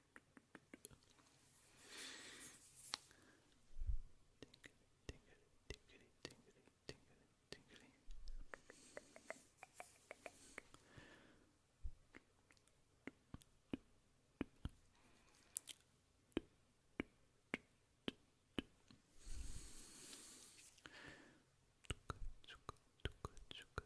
tingly, tingly, tingly, tingly. Chuka, chuka, chuka, chuka.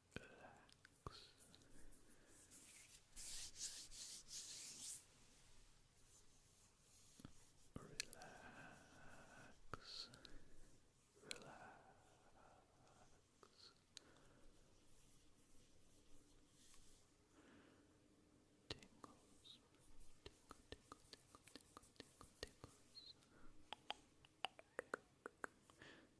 relax. Relax, relax. Tingles, tingle, tingle, tingle, tingle, tingles.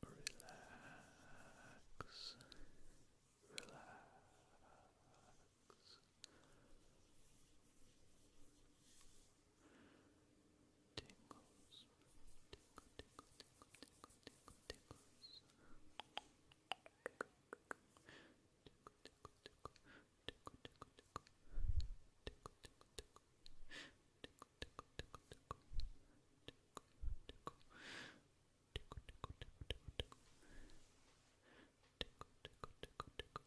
Relax, relax. Tingles, tingle, tingle, tingle, tingle, tingle, tingles. Tickle, tickle, tickle, tickle, tickle, tickle, tickle, tickle, tickle, tickle, tickle, tickety, tickety, tickety,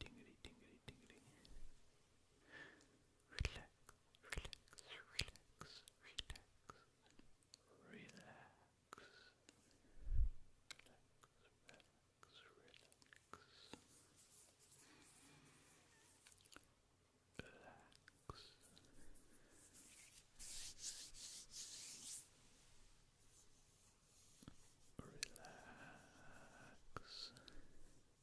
tingly, tingly, tingly. Relax, relax, relax, relax, relax, relax, relax, relax. Relax. Relax. Relax.